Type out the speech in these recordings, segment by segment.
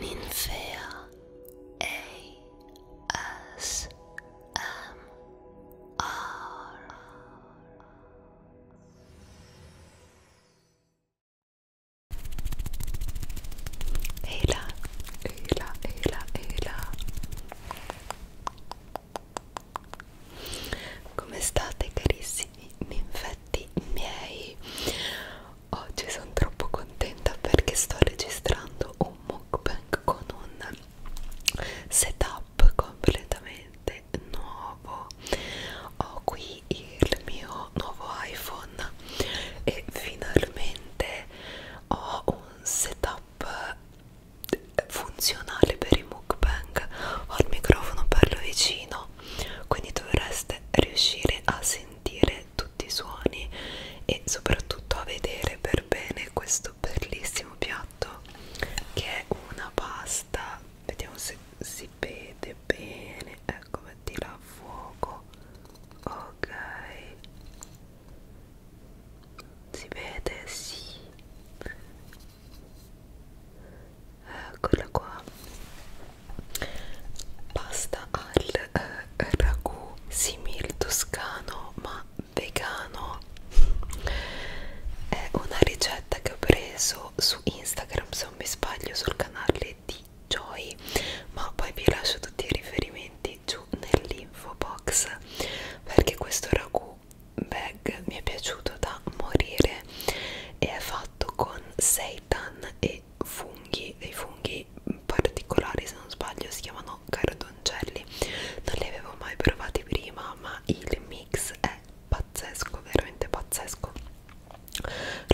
Ninfea ASMR Eila, Eila, Eila, Eila Come state carissimi ninfetti miei? Oggi sono troppo contenta perché sto registrando un mukbang con un setup completamente nuovo. Ho qui il mio nuovo iPhone e finalmente ho un setup funzionale per i mukbang. Ho il microfono bello vicino, quindi dovreste riuscire a sentire tutti i suoni e soprattutto a vedere per bene questo bellissimo piatto che è una pasta vediamo se si vede bene ecco mettila a fuoco ok si vede sì eccola qua pasta al eh, ragù simil toscano ma vegano è una ricetta che ho preso su Instagram se non mi sbaglio sul canale di Joy ma poi vi lascio tutti i riferimenti giù nell'info box perché questo ragù bag mi è piaciuto da morire e è fatto con seitan e dei funghi, dei funghi particolari se non sbaglio si chiamano cardoncelli non li avevo mai provati prima ma il mix è pazzesco veramente pazzesco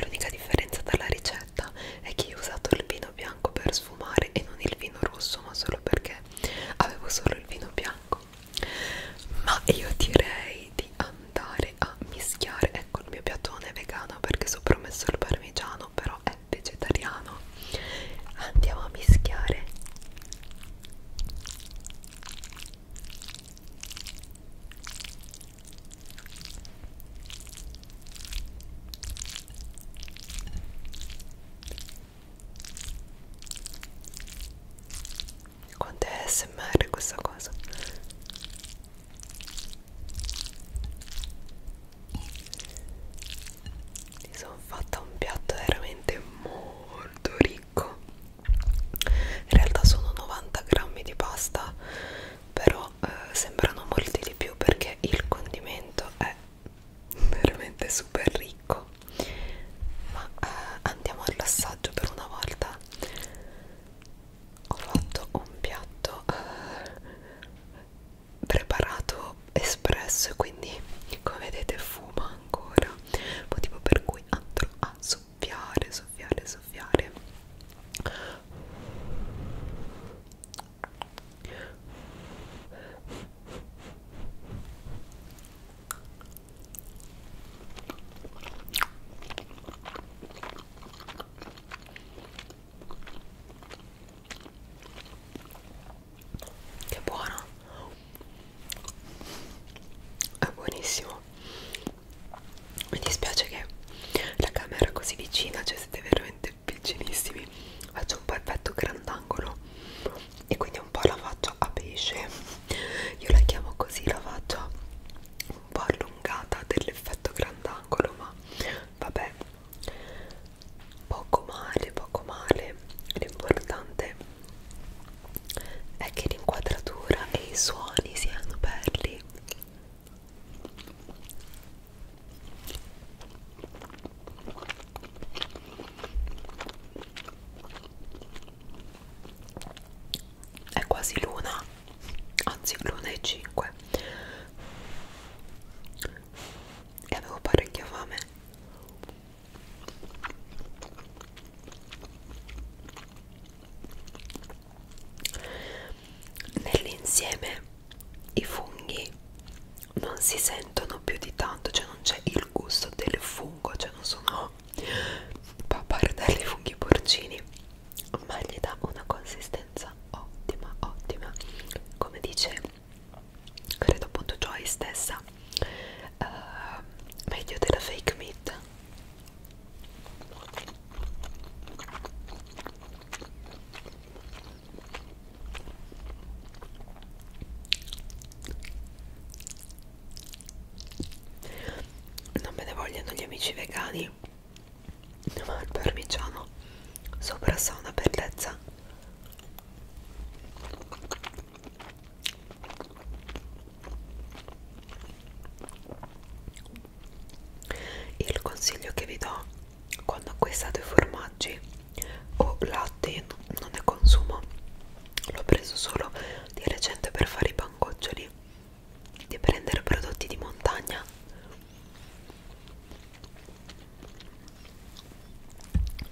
l'unica differenza dalla ricetta è che io ho usato il vino bianco per sfumare e non il vino rosso ma solo perché avevo solo il vino bianco ma io direi di andare a mischiare ecco col mio piattone vegano perché ho promesso il parmigiano però è vegetariano andiamo a mischiare quanto è smr questa cosa mi sono fatta un piatto veramente molto ricco in realtà sono 90 grammi di pasta però eh, sembrano molti di più perché il condimento è veramente super ricco ma eh, andiamo all'assaggio per una volta ho fatto un piatto eh, preparato espresso quindi come vedete fuma ancora motivo per cui andrò a soffiare soffiare soffiare che buono è buonissimo mi dispiace che la camera è così vicina cioè siete veramente vicinissimi faccio un po' effetto grandangolo e quindi un po' la faccia a pesce io la chiamo così la faccia un po' allungata dell'effetto grandangolo ma vabbè poco male poco male l'importante è che l'inquadratura e i suoni siano belli è quasi luna anzi l'1,5 e avevo parecchia fame nell'insieme i funghi non si sentono più di tanto cioè non c'è il gusto del fungo cioè non sono papardelli funghi porcini ma gli dà una consistenza ottima ottima come dice credo appunto Joy stessa uh, meglio della fake meat non me ne vogliono gli amici vegani sì, ma il parmigiano sopra sa una bellezza. Il consiglio che vi do quando acquistate formaggi o latte non ne consumo, l'ho preso solo di recente per fare i pancoccioli di prendere prodotti di montagna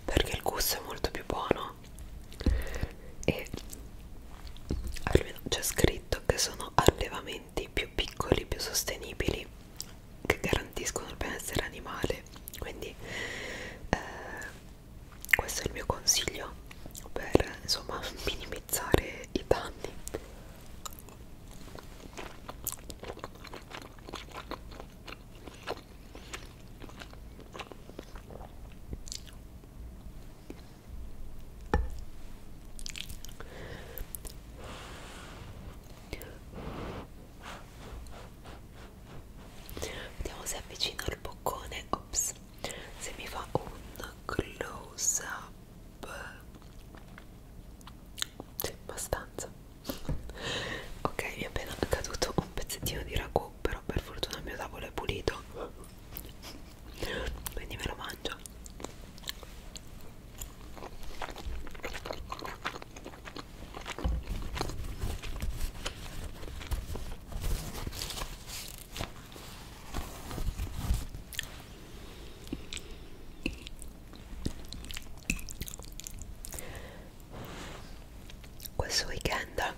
perché il gusto è molto più buono e almeno c'è scritto che sono allevamenti più piccoli, più sostenibili che garantiscono il benessere animale quindi eh, questo è il mio consiglio per insomma minimizzare i danni Vediamo se avvicino il boccone. Ops, se mi fa un close up sì, abbastanza ok mi è appena caduto un pezzettino di ragù però per fortuna il mio tavolo è pulito quindi me lo mangio questo weekend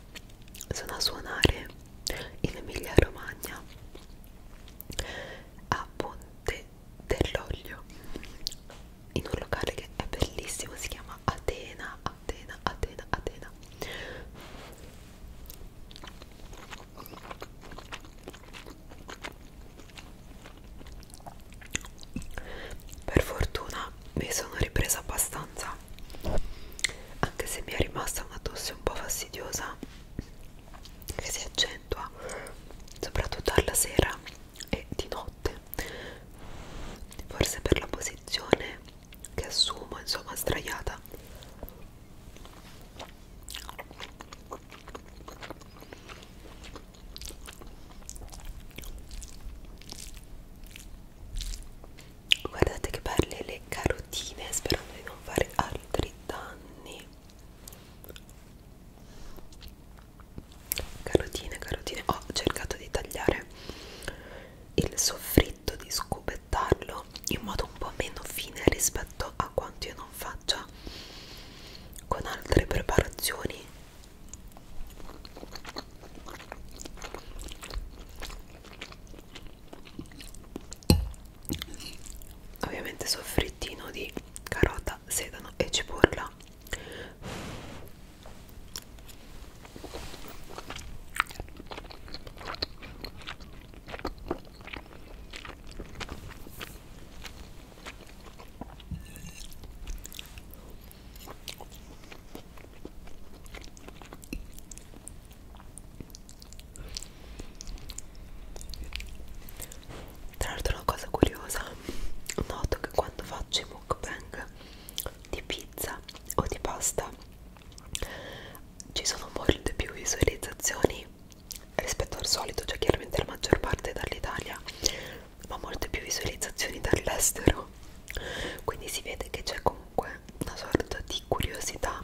sono a suonare in Emilia Romagna a Ponte dell'Olio in un locale che è bellissimo, si chiama Atena, Atena, Atena, Atena per fortuna mi sono ripresa abbastanza, anche se mi è rimasta una tosse un po' fastidiosa che si accentua soprattutto alla sera e di notte, forse per la posizione che assumo, insomma, sdraiata. Guardate che belle le carotine, sperando di non fare altri danni. Carotine, carotine. Ho cercato di tagliare il soffritto, di scubettarlo in modo un po' meno fine rispetto rispetto a quanto io non faccia con altre preparazioni ovviamente soffrittino di carota, sedano e cipolla tra l'altro una cosa curiosa, noto che quando faccio i mukbang di pizza o di pasta ci sono molte più visualizzazioni rispetto al solito, cioè chiaramente la maggior parte è dall'Italia, ma molte più visualizzazioni dall'estero. Quindi si vede che c'è comunque una sorta di curiosità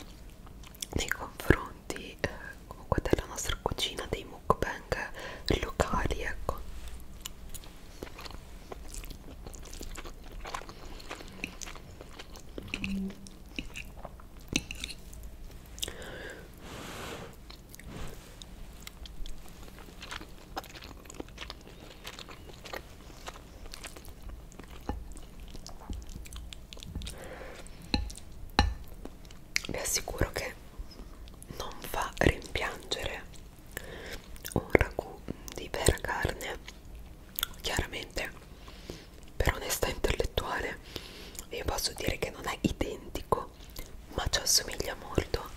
nei confronti eh, comunque della nostra cucina, dei mukbang locali, ecco vi assicuro che non fa rimpiangere un ragù di vera carne chiaramente per onestà intellettuale vi posso dire che non è identico ma ci assomiglia molto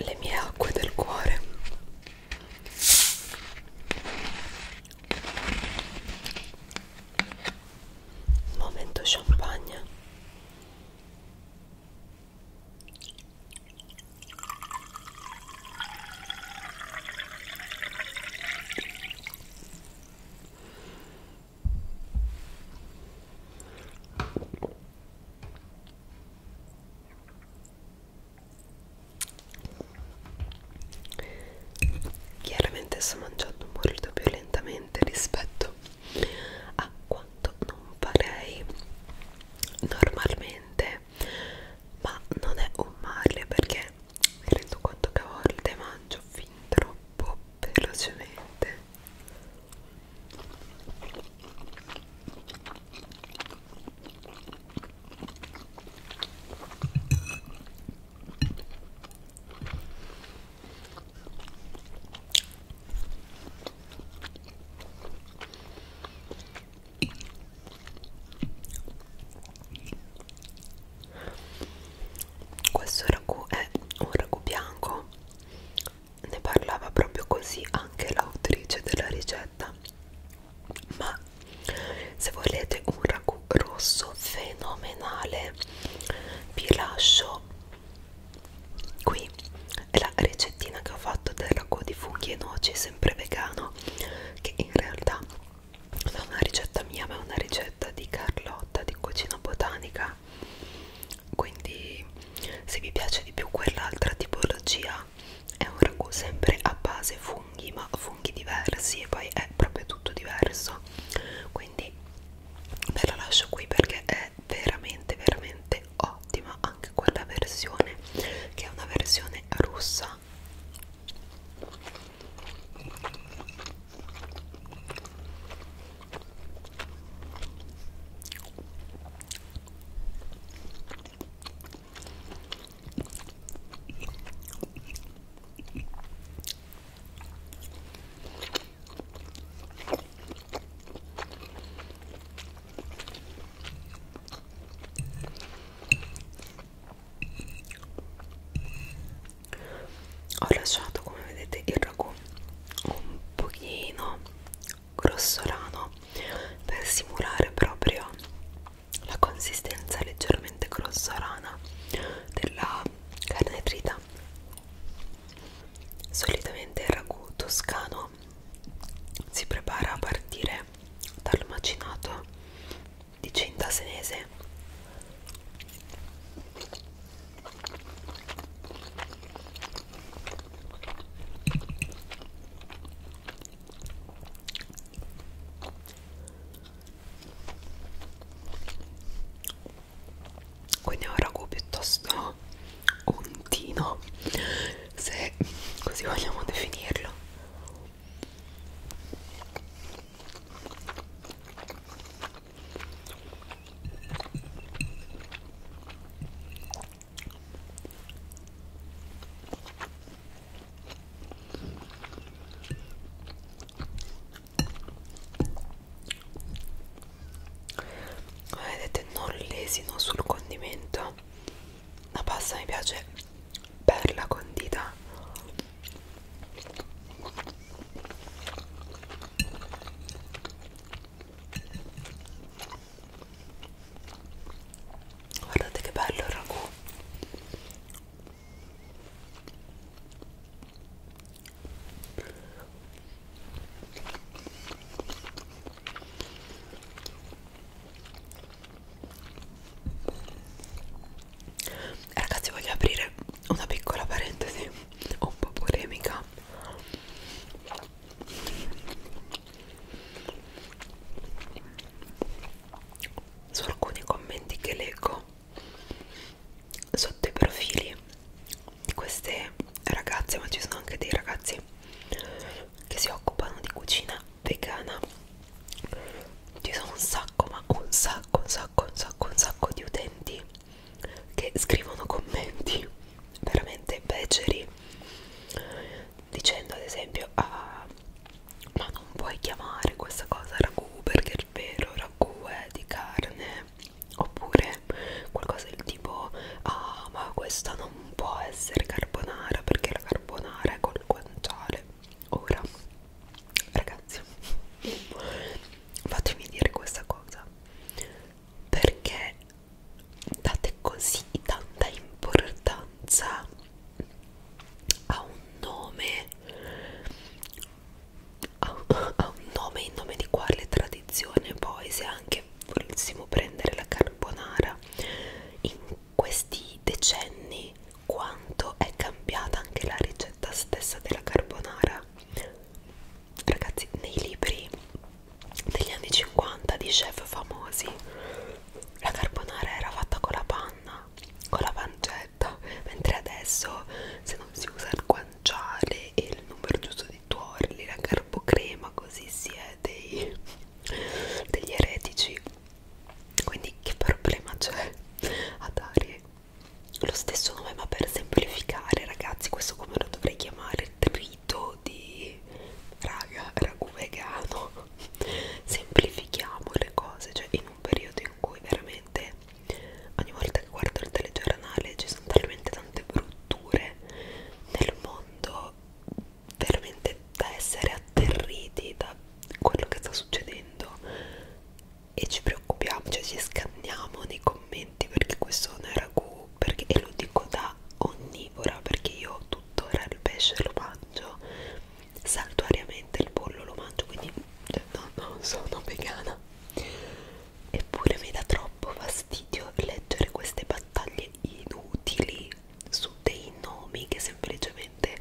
le mie acque del cuore Momento champagne. Chiaramente sto mangiando molto più lentamente rispetto a quanto non farei normalmente, ma non è un male perché mi rendo conto che a volte mangio fin troppo velocemente. Questo ragù è un ragù bianco, ne parlava proprio così anche l'autrice della ricetta ma se volete un ragù rosso fenomenale vi lascio qui la ricettina che ho fatto del ragù di funghi e noci sempre vegano che in realtà non è una ricetta mia ma è una ricetta di Carlotta di cucina botanica quindi se vi piace di più quell'altra tipologia realtà è un ragù sempre a base funghi ma funghi diversi e poi è proprio tutto diverso quindi ve la lascio qui perché è veramente veramente ottima anche quella versione che è una versione russa ho lasciato come vedete il ragù un pochino grossolano per simulare proprio la consistenza leggermente grossolana della carne trita solitamente il ragù toscano si prepara a partire dal macinato di cinta senese quindi è un ragù piuttosto ontino se così vogliamo definirlo come vedete non lesino sul condimento la pasta mi piace bella condita guardate che bello il ragù eh, ragazzi voglio aprire una piccola parentesi un po' polemica su alcuni commenti che leggo sotto i profili di queste ragazze ma ci sono anche dei ragazzi che si occupano di cucina vegana ci sono un sacco ma un sacco un sacco un sacco un sacco di utenti che scrivono commenti veramente beceri dicendo ad esempio ah, ma non puoi chiamare questa cosa ragù perché il vero ragù è di carne oppure qualcosa del tipo ah ma questa non può essere carbonara perché la carbonara è col guanciale ora ragazzi fatemi dire questa cosa perché date così tanta importanza ha un nome ha un, ha un nome in nome di quale tradizione poi se anche volessimo prendere la carbonara in questi decenni quanto è cambiata anche la ricetta stessa della carbonara ragazzi nei libri degli anni 50 di chef famosi la carbonara era fatta con la panna con la pancetta mentre adesso se non si usa il guanciale e il numero giusto di tuorli la carbocrema così si è dei, degli eretici quindi che problema c'è a dare lo stesso nome ma per semplificare ragazzi questo come lo dovrei chiamare trito di raga ragù vegano semplifichiamo le cose cioè in in un periodo in cui veramente ogni volta che guardo il telegiornale ci sono talmente tante brutture nel mondo veramente da essere atterriti da quello che sta succedendo e ci preoccupiamo, cioè ci scanniamo nei commenti perché questo non è ragù perché, e lo dico da onnivora perché io tuttora il pesce lo mangio saltuariamente il pollo lo mangio quindi cioè, no, non sono vegana eppure mi dà troppo fastidio leggere queste battaglie inutili su dei nomi che semplicemente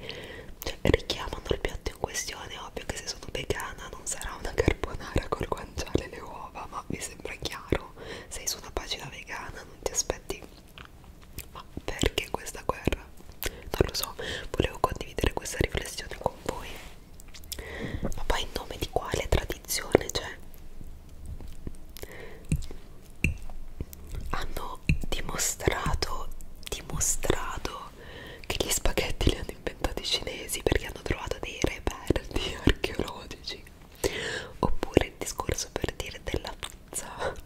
cioè, richiamano il piatto in questione è ovvio che se sono vegana non sarà una carbonara col guanciale e le uova ma mi sembra chiaro sei su una pagina vegana non ti aspetti ma perché questa guerra? Non lo so, volevo condividere questa riflessione con voi. Ma poi in nome di quale tradizione c'è? Cioè? Hanno dimostrato, dimostrato che gli spaghetti li hanno inventati i cinesi perché hanno trovato dei reperti archeologici. Oppure il discorso per dire della pizza italiana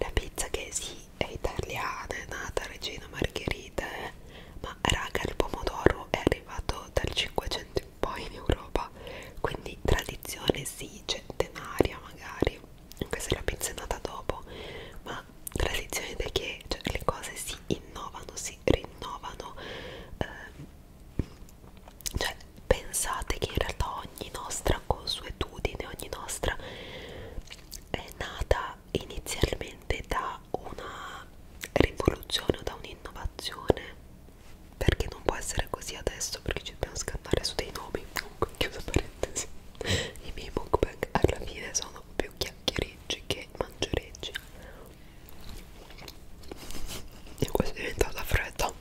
la pizza che sì è italiana è nata regina margherita eh? ma raga il pomodoro è arrivato dal 500 in poi in Europa quindi tradizione sì centenaria magari anche se la pizza è nata dopo ma tradizione è che cioè, le cose si innovano si rinnovano eh, cioè pensate che in realtà ogni nostra consuetudine ogni nostra è nata inizialmente da una rivoluzione o da un'innovazione perché non può essere così adesso perché ci dobbiamo scannare su dei nomi comunque chiuso parentesi i miei mukbang alla fine sono più chiacchiereggi che mangereggi e questa è diventata fredda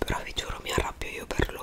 però vi giuro mi arrabbio io per loro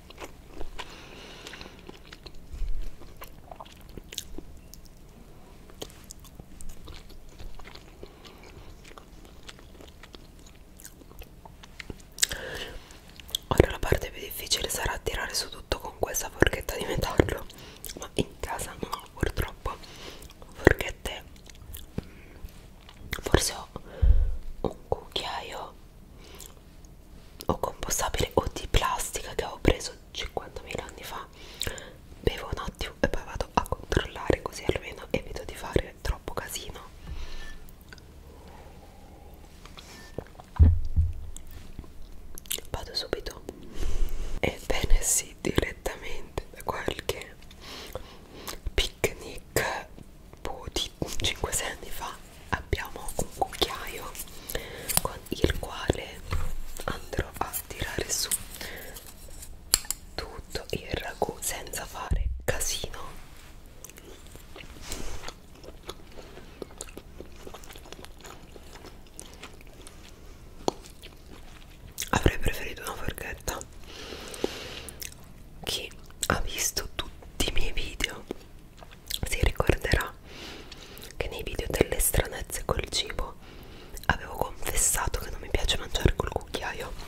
Ora la parte più difficile sarà tirare su tutto con questa forchetta di metallo, ma in casa non ho purtroppo forchette. Forse ho un cucchiaio o compostabile o di plastica che avevo preso 50.000 anni fa bevo un attimo e poi vado a controllare così almeno evito di fare troppo casino vado subito ebbene sì direttamente da qualche picnic boh, di 5-6 anni fa abbiamo un cucchiaio con il quale andrò a tirare su tutto il ragù senza fare casino avrei preferito una forchetta chi ha visto tutti i miei video si ricorderà che nei video delle stranezze col cibo avevo confessato che non mi piace mangiare col cucchiaio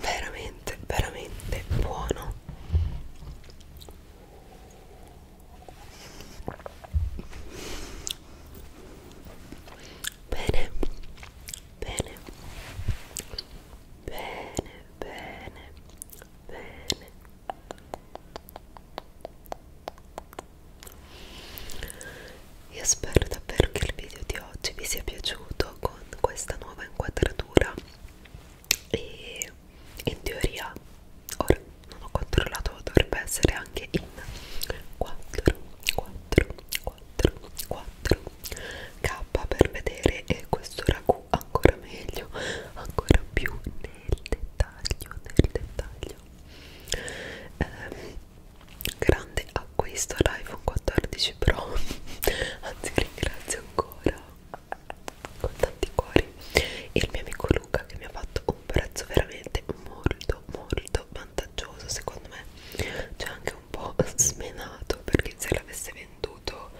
veramente veramente buono bene bene bene bene bene io spero davvero che il video di oggi vi sia piaciuto con questa nuova inquadratura e in teoria, ora non ho controllato, dovrebbe essere anche in 4, 4, 4, 4 K per vedere e questo ragù ancora meglio, ancora più nel dettaglio, nel dettaglio. Eh, grande acquisto l'iPhone 14 Pro anzi ringrazio ancora con tanti cuori e il mio amico Luca che mi ha fatto un prezzo veramente molto molto vantaggioso secondo me c'è anche un po' smenato perché se l'avesse venduto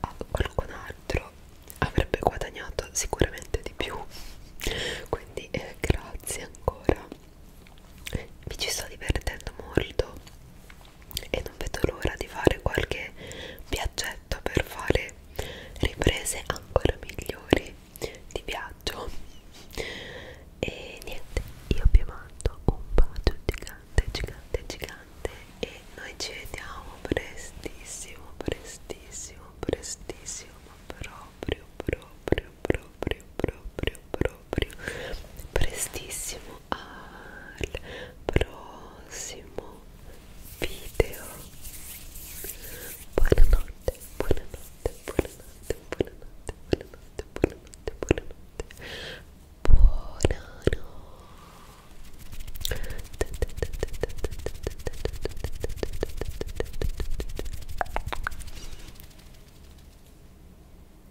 a qualcun altro avrebbe guadagnato sicuramente di più quindi eh, grazie ancora mi ci sto divertendo molto e non vedo l'ora di fare qualche viaggetto per fare riprese ancora migliori di viaggio e niente io vi mando un bacio gigante gigante gigante e noi ci vediamo prestissimo prestissimo prestissimo proprio proprio proprio proprio proprio prestissimo al prossimo video buonanotte buonanotte buonanotte buonanotte buonanotte buonanotte buonanotte buonanotte